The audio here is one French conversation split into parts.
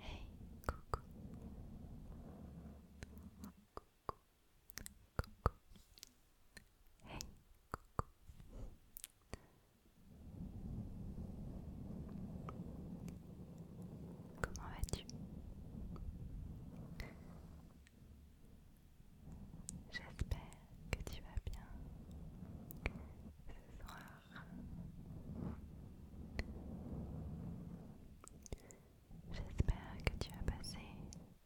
Hey, coucou. Coucou. Coucou. Hey, coucou. Comment vas-tu J'espère que tu vas bien ce soir. J'espère que tu as passé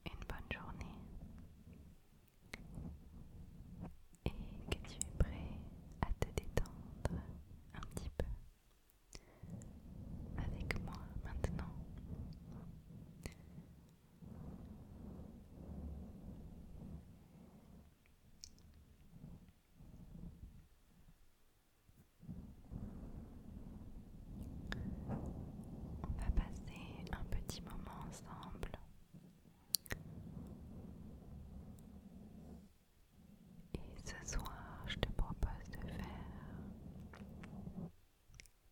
une bonne journée et que tu es prêt à te détendre un petit peu avec moi maintenant. On va passer un petit moment ensemble. Et ce soir, je te propose de faire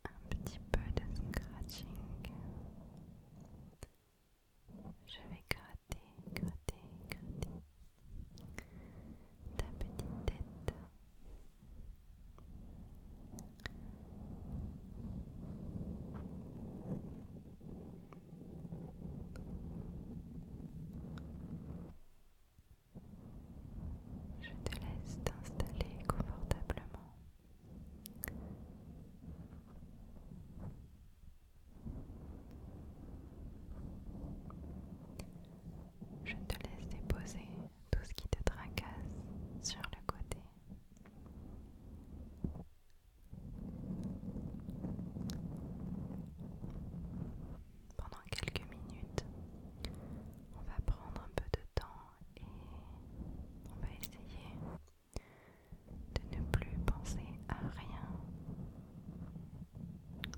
un petit peu de scratching. Je vais gratter, gratter, gratter ta petite tête. Je te laisse t'installer confortablement. Je te laisse déposer tout ce qui te tracasse sur le côté. Pendant quelques minutes, on va prendre un peu de temps et on va essayer de ne plus penser à rien,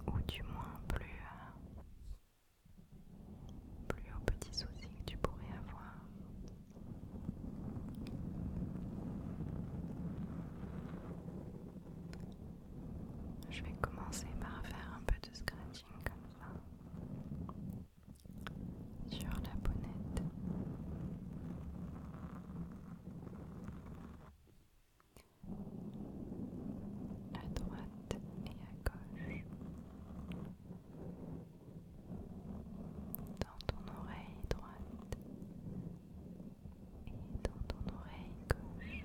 ou du moins plus à plus aux petits soucis que tu pourrais avoir. Je vais commencer par faire un peu de scratching comme ça sur la bonnette à droite et à gauche, dans ton oreille droite et dans ton oreille gauche.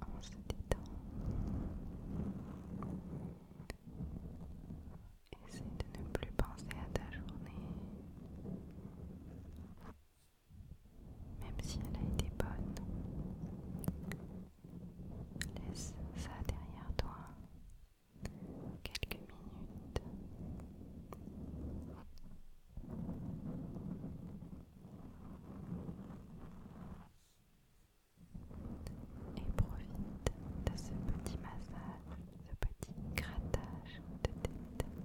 En se détend. Essaie de ne plus penser à ta journée. Même si elle a été bonne, laisse ça derrière toi quelques minutes. Et profite de ce petit massage, ce petit grattage de tête.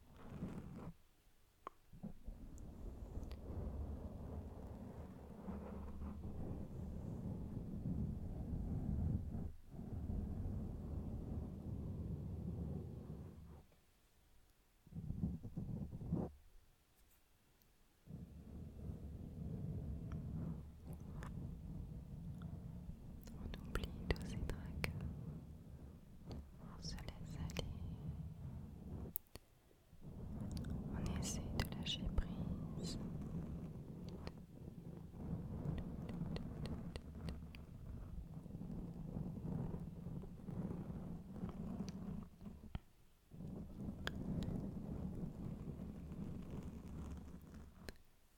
On oublie tous ces tracas on se laisse aller, on essaie de lâcher prise.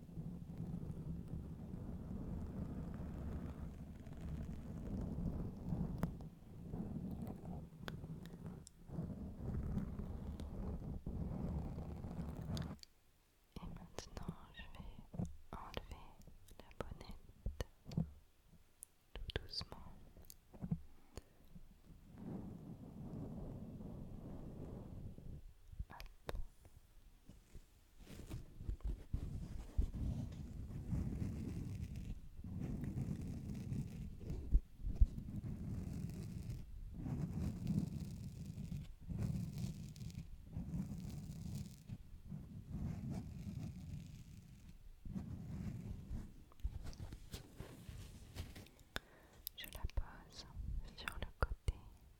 Et maintenant, je vais enlever la bonnette tout doucement. Je la pose sur le côté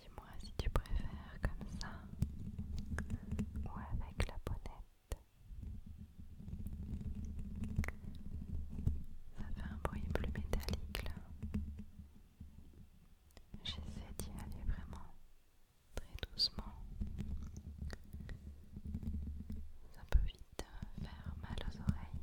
Dis-moi si tu préfères comme ça ou avec la bonnette. Ça fait un bruit plus métallique là. J'essaie d'y aller vraiment très doucement. Ça peut vite faire mal aux oreilles.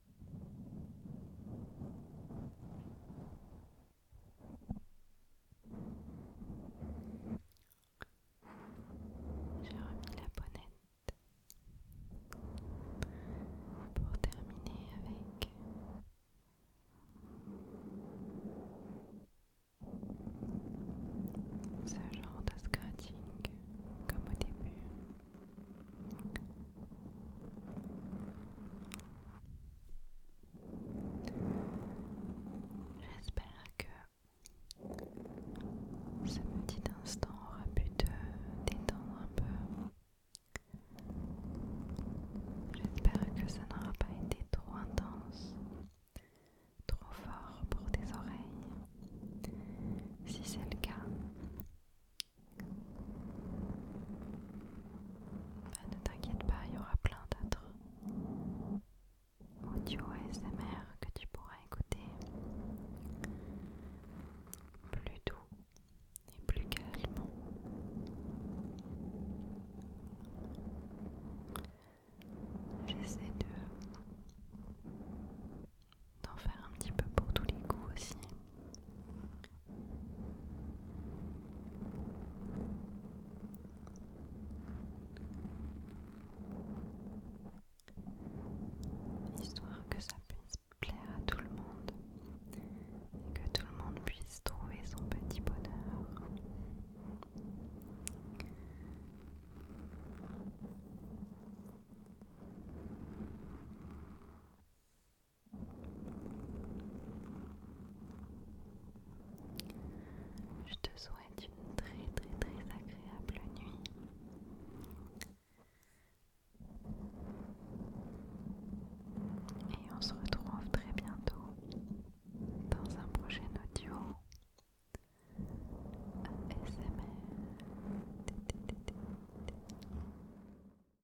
J'ai remis la bonnette pour terminer avec ce genre de scratching comme au début. J'espère que ce petit instant aura pu te détendre un peu. J'espère que ça n'aura pas été trop intense, trop fort pour tes oreilles. Si c'est le cas, bah, ne t'inquiète pas, il y aura plein d'autres audio SMR que tu pourras écouter plus doux et plus calmement. J'essaie de d'en faire un petit peu pour tous les goûts aussi. Histoire que ça puisse plaire à tout le monde et que tout le monde puisse trouver son petit bonheur. Je te souhaite une très très très agréable nuit. Et on se retrouve très bientôt dans un prochain audio. ASMR.